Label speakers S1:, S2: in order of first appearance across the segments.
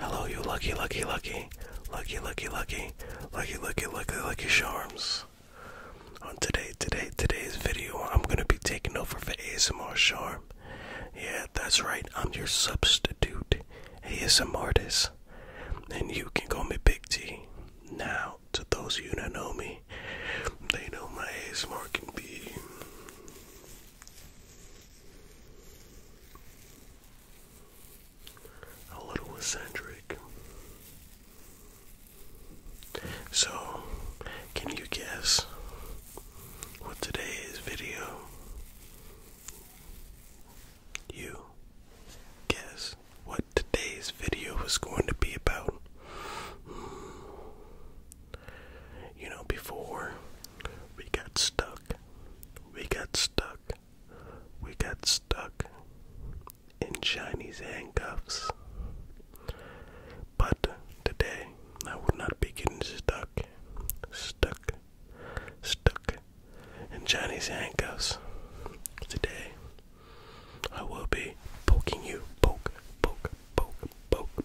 S1: Hello, you lucky, lucky, lucky, lucky, lucky, lucky, lucky, lucky, lucky, lucky charms. On today, today, today's video, I'm gonna be taking over for ASMR Charm. Yeah, that's right. I'm your substitute ASMR artist, and you can call me Big T. Now, to those of you that know me, they know my ASMR can be a little eccentric. So, can you guess what today's video? You guess what today's video is going to be about? You know, before we got stuck, we got stuck, we got stuck in Chinese handcuffs. But today, I will not be getting stuck, stuck, stuck in Chinese handcuffs. Today, I will be poking you, poke, poke, poke, poke,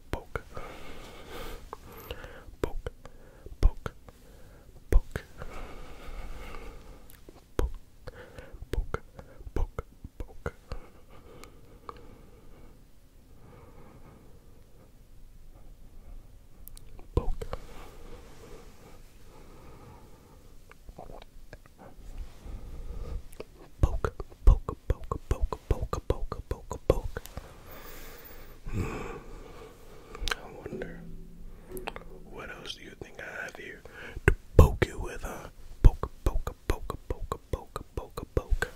S1: go poke. Poke, poke, poke. Poke, poke, poke, poke. Poke. Poke, poke, poke, poke, poke, poke, poke, poke, poke. Hmm. I wonder what else do you think I have here to poke you with, huh? Poke, poke, poke, poke, poke, poke, poke.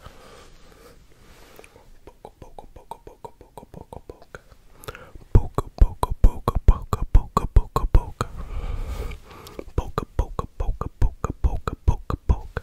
S1: Poke, poke, poke, poke, poke, poke, poke. Poke, poke, poke, poke, poke, poke, poke. Poke, poke, poke, poke, poke, poke, poke.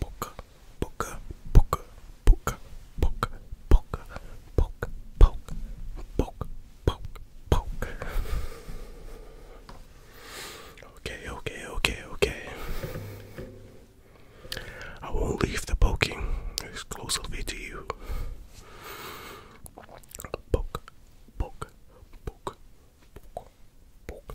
S1: poke, poke, poke, poke, poke, poke, poke, poke, poke, poke, poke. Okay, okay, okay, okay. I won't leave the poking exclusively to you. Poke, poke, poke, poke, poke, poke,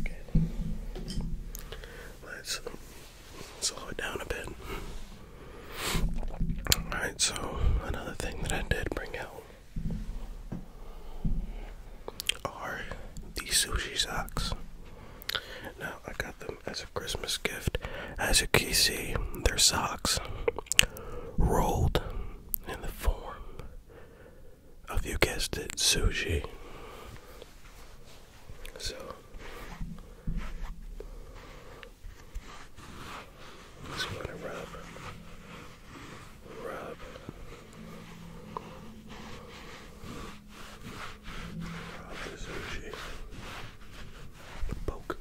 S1: Okay. Let's slow it down a bit. Alright, so another thing that I did bring out are these sushi socks. Now, I got them as a Christmas gift. As you can see, they're socks rolled in the form have you guessed it, sushi. So just want to rub, rub, rub the sushi, poke.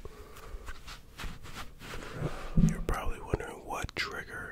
S1: You're probably wondering what trigger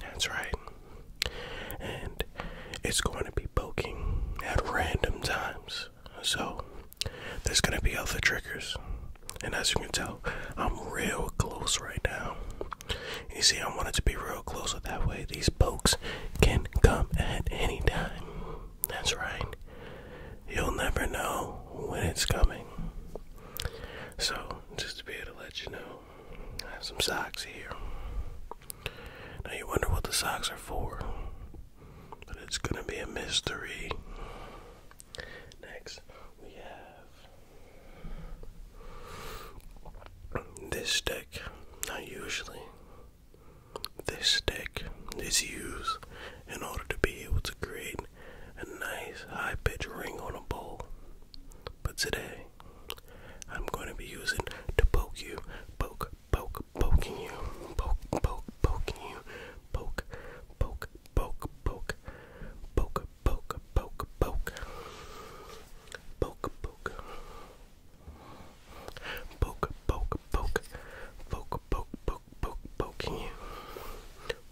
S1: That's right. And it's going to be poking at random times. So there's going to be other triggers. And as you can tell, I'm real close right now. You see, I want it to be real close so that way these pokes can come at any time. That's right. You'll never know when it's coming. So just to be able to let you know. I have some socks here. Now you wonder what the socks are for, but it's gonna be a mystery. Next, we have this stick. Now, usually, this stick is used in order to be able to create a nice high pitch ring on a bowl. But today, I'm going to be using to poke you, poke, poke, poking you, poke, poke, poking you, poke, poke, poke, poke, poke, poke, poke, poke, poke, poke, poke, poke, poke, poke, poke, poke, poking you,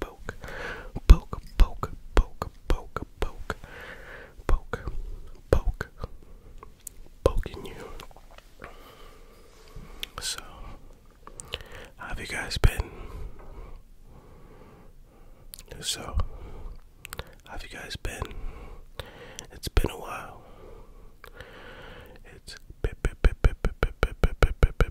S1: poke, poke, poke, poke, poke, poke, poke, poke, poke, poking you. So, how have you guys been? So, how have you guys been? It's been a while. It's been, been, been, been, been, been, been,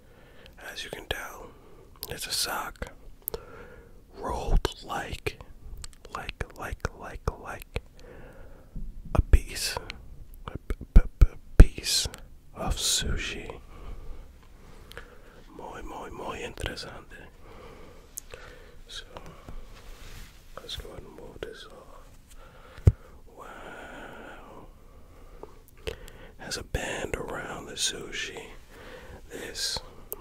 S1: as you can tell, it's a sock rolled like, like, like, like, like a piece, a, piece of sushi. Muy, muy, muy interesante. So, let's go and move this off. Wow. Has a band around the sushi. This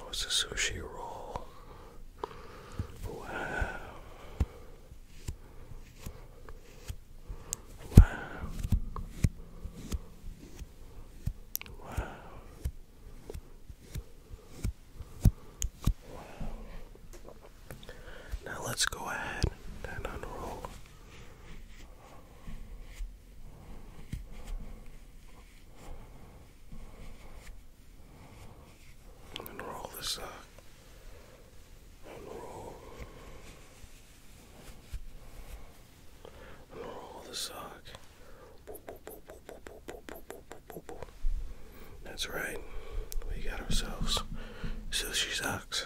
S1: was a sushi roll. Wow. Wow. Wow. Wow. Now let's go ahead and unroll. And roll this up. Uh, unroll. Unroll the sock. Uh, That's right. We got ourselves sushi socks.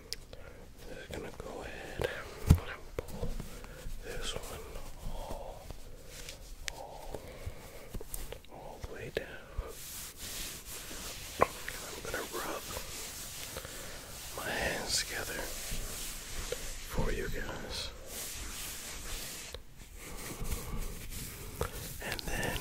S1: Just gonna go ahead and pull this one all, all, all the way down. I'm gonna rub my hands together for you guys. And then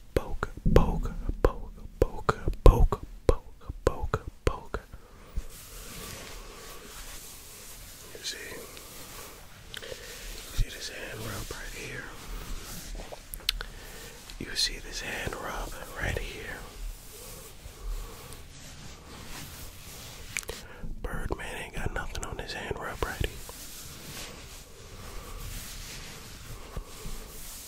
S1: poke, poke, poke, poke, poke, poke, poke, poke. You see, you see this hand rub right here. You see this hand rub right here. Birdman ain't got nothing on his hand rub right here.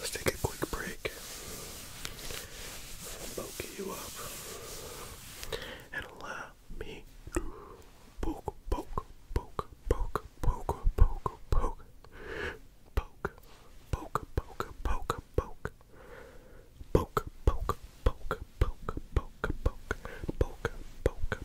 S1: Let's take a quick break. Poke you up and allow me to poke, poke, poke, poke, poke, poke, poke, poke, poke, poke, poke, poke. Poke, poke, poke, poke, poke, poke, poke, poke,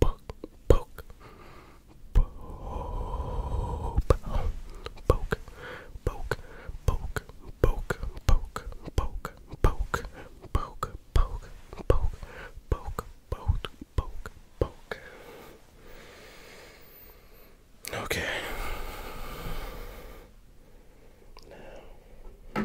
S1: poke, poke, poke, poke, poke, poke, poke, poke, poke, poke, poke, poke, poke, poke, poke, poke, poke. Okay. Now.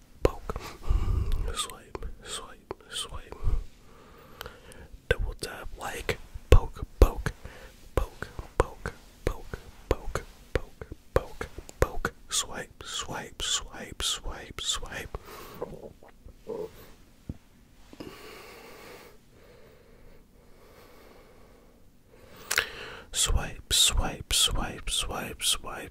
S1: poke, poke, swipe, swipe, swipe, double tap, like, poke, poke, poke, poke, poke, poke, poke, poke, poke, swipe, swipe, swipe, swipe, swipe. Swipe, swipe, swipe, swipe, swipe,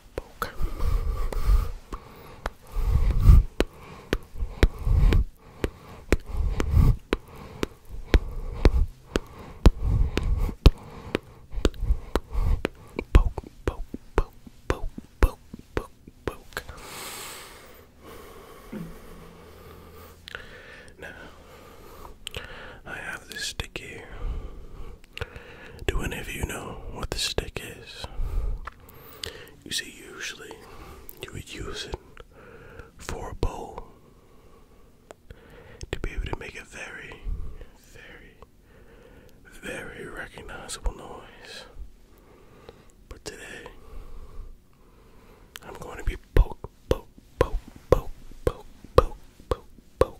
S1: poke. Poke, poke, poke, poke, poke, poke, poke. Now, I have this stick do any of you know what the stick is? You see, usually you would use it for a bowl to be able to make a very, very, very recognizable noise. But today, I'm going to be poke, poke, poke, poke, poke, poke, poke, poke,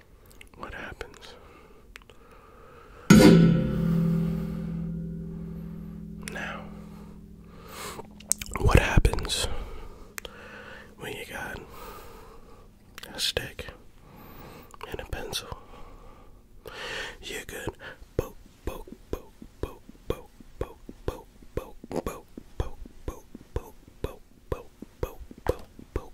S1: what happens? Now, what happens when you got a stick and a pencil? You could poke, poke, poke, poke, poke, poke, poke, poke, poke, poke, poke, poke, poke, poke, poke, poke,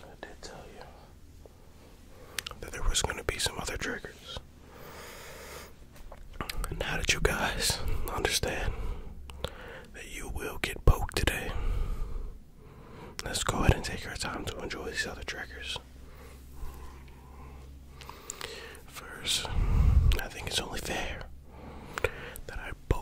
S1: I did tell you that there was going to be some other triggers. Now that you guys understand that you will get poked today, let's go ahead and take our time to enjoy these other triggers. First, I think it's only fair that I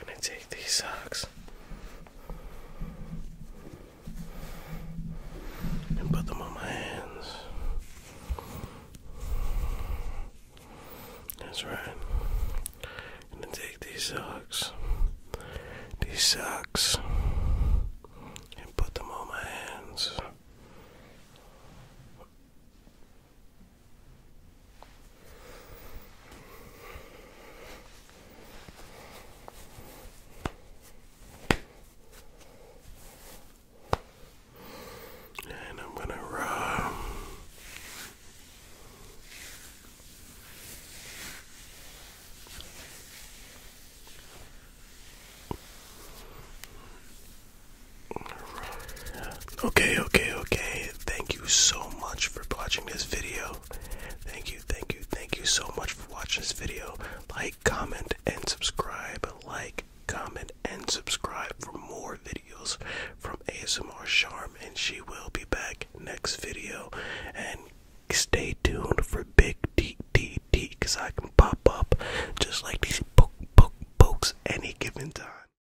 S1: I'm gonna take these socks and put them on my hands. That's right. I'm gonna take these socks, these socks, and put them on my hands. And I'm going to rub Okay, okay, okay. Thank you so much for watching this video. Thank you, thank you, thank you so much for watching this video. Like, comment, and subscribe. Like, comment, and subscribe for more videos from ASMR Charm. And she will be back next video. And stay tuned for Big D D D because I can pop up just like these poke, poke, pokes any given time.